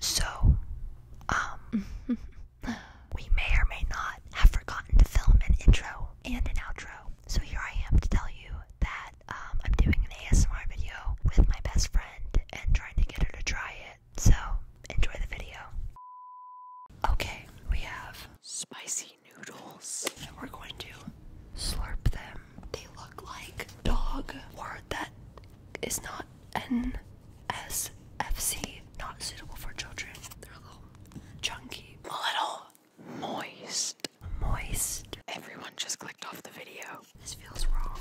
So, um, we may or may not have forgotten to film an intro and an outro. So here I am to tell you that um, I'm doing an ASMR video with my best friend and trying to get her to try it. So enjoy the video. Okay, we have spicy noodles, and we're going to slurp them they look like dog word that is not NSFC, not suitable for children. They're a little chunky, a little moist. Moist. Everyone just clicked off the video. This feels wrong.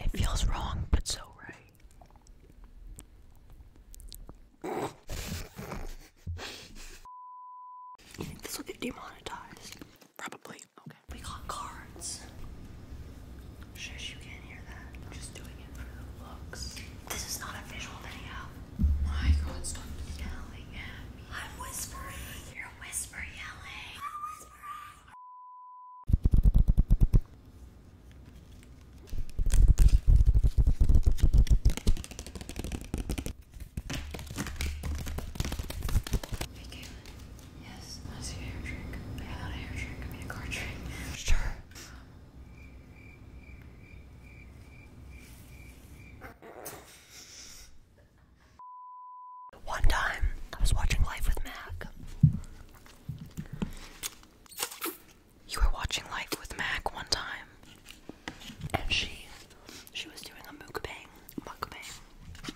It feels wrong, but so right. this will get demonetized? Probably. We got cards. Shush, you can't hear that. I'm just doing it for the looks. This is not a visual video. My god, stop yelling at me. I'm whispering. You're whisper yelling. I'm whispering. Yes, I see a hair trick. Yeah, not a hair trick, I mean a card trick. Sure. One time, I was watching Life with Mac. You were watching Life with Mac one time and she she was doing a mukbang, mukbang,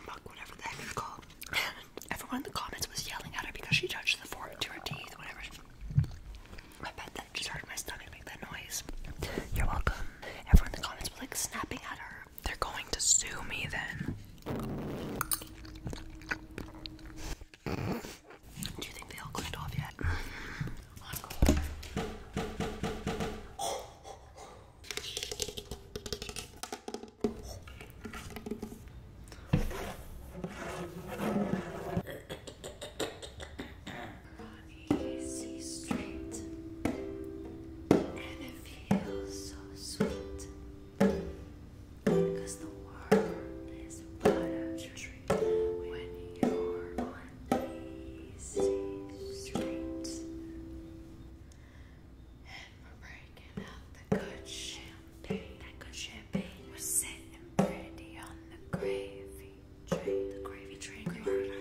muk whatever the heck it's called. everyone in the comments was yelling at her because she touched the fork to her teeth, whatever. I bet that just hurt my stomach make that noise. You're welcome. Everyone in the comments was like snapping at her. They're going to sue me then. Do you think they all clicked off yet? Encore. Easy straight, and it feels so sweet the world is a dream when you're on these streets. And we're breaking out the good champagne. That good champagne was sitting pretty on the gravy train. The gravy train, you ruined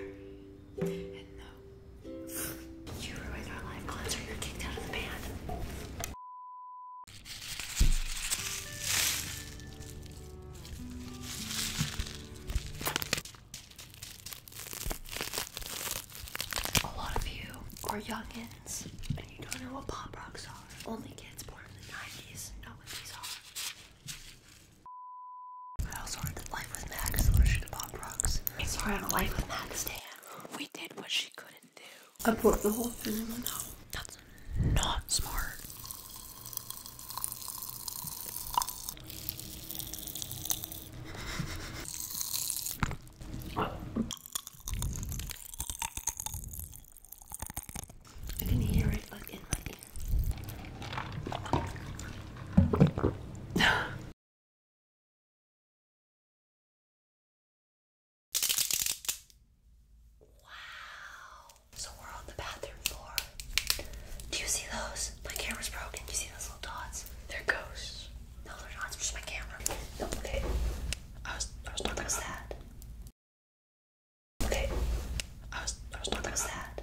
our live concert. You're kicked out of the band. A lot of you are youngins and you don't know what pop rocks are. Only kids born in the 90s know what these are. I also heard that Life with Max version of pop rocks. It's her on Life with Max stand. We did what she couldn't do. I bought the whole thing in one hour not smart. I can hear it like in Wow. So we're on the bathroom floor. Do you see those? My camera's broken. Do you see those little dots? They're ghosts. No, they're not. It's just my camera. No, okay. I was, I was talking about that. Okay. I was, I was talking about that.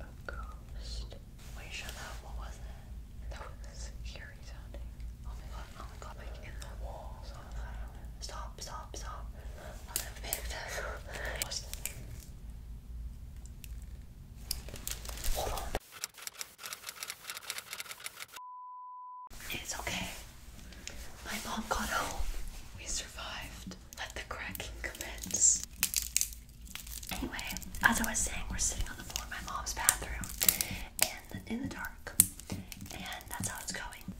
A ghost. Wait, shut up. What was that? That was scary sounding. Oh stop, stop, stop. It's okay. My mom got home. We survived. Let the cracking commence. Anyway, as I was saying, we're sitting on the floor in my mom's bathroom, in the, dark, and that's how it's going.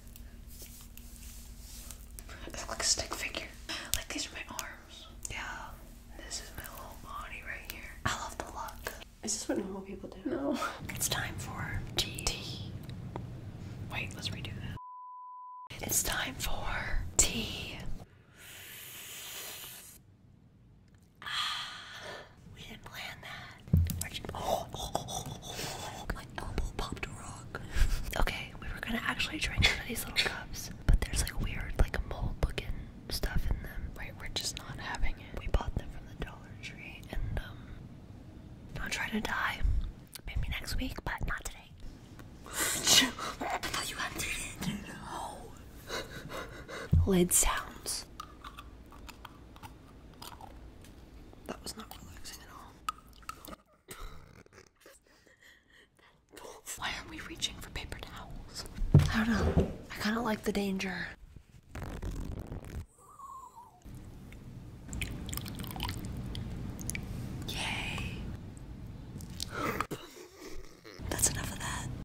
It's like a stick figure. Like these are my arms. Yeah. This is my whole body right here. I love the look. Is this what normal people do? No. It's time for tea. Wait, let's redo that. It's time for tea. Ah we didn't plan that. my elbow popped a rock. okay, we were gonna actually drink one of these little cups, but there's like weird, like mold looking stuff in them. Right, we're just not having it. We bought them from the Dollar Tree, and um, I'm trying to die. Maybe next week, but not today. I thought you had to. No. Lid sounds. That was not relaxing at all. Why are we reaching for paper towels? I don't know. I kind of like the danger. Yay. That's enough of that.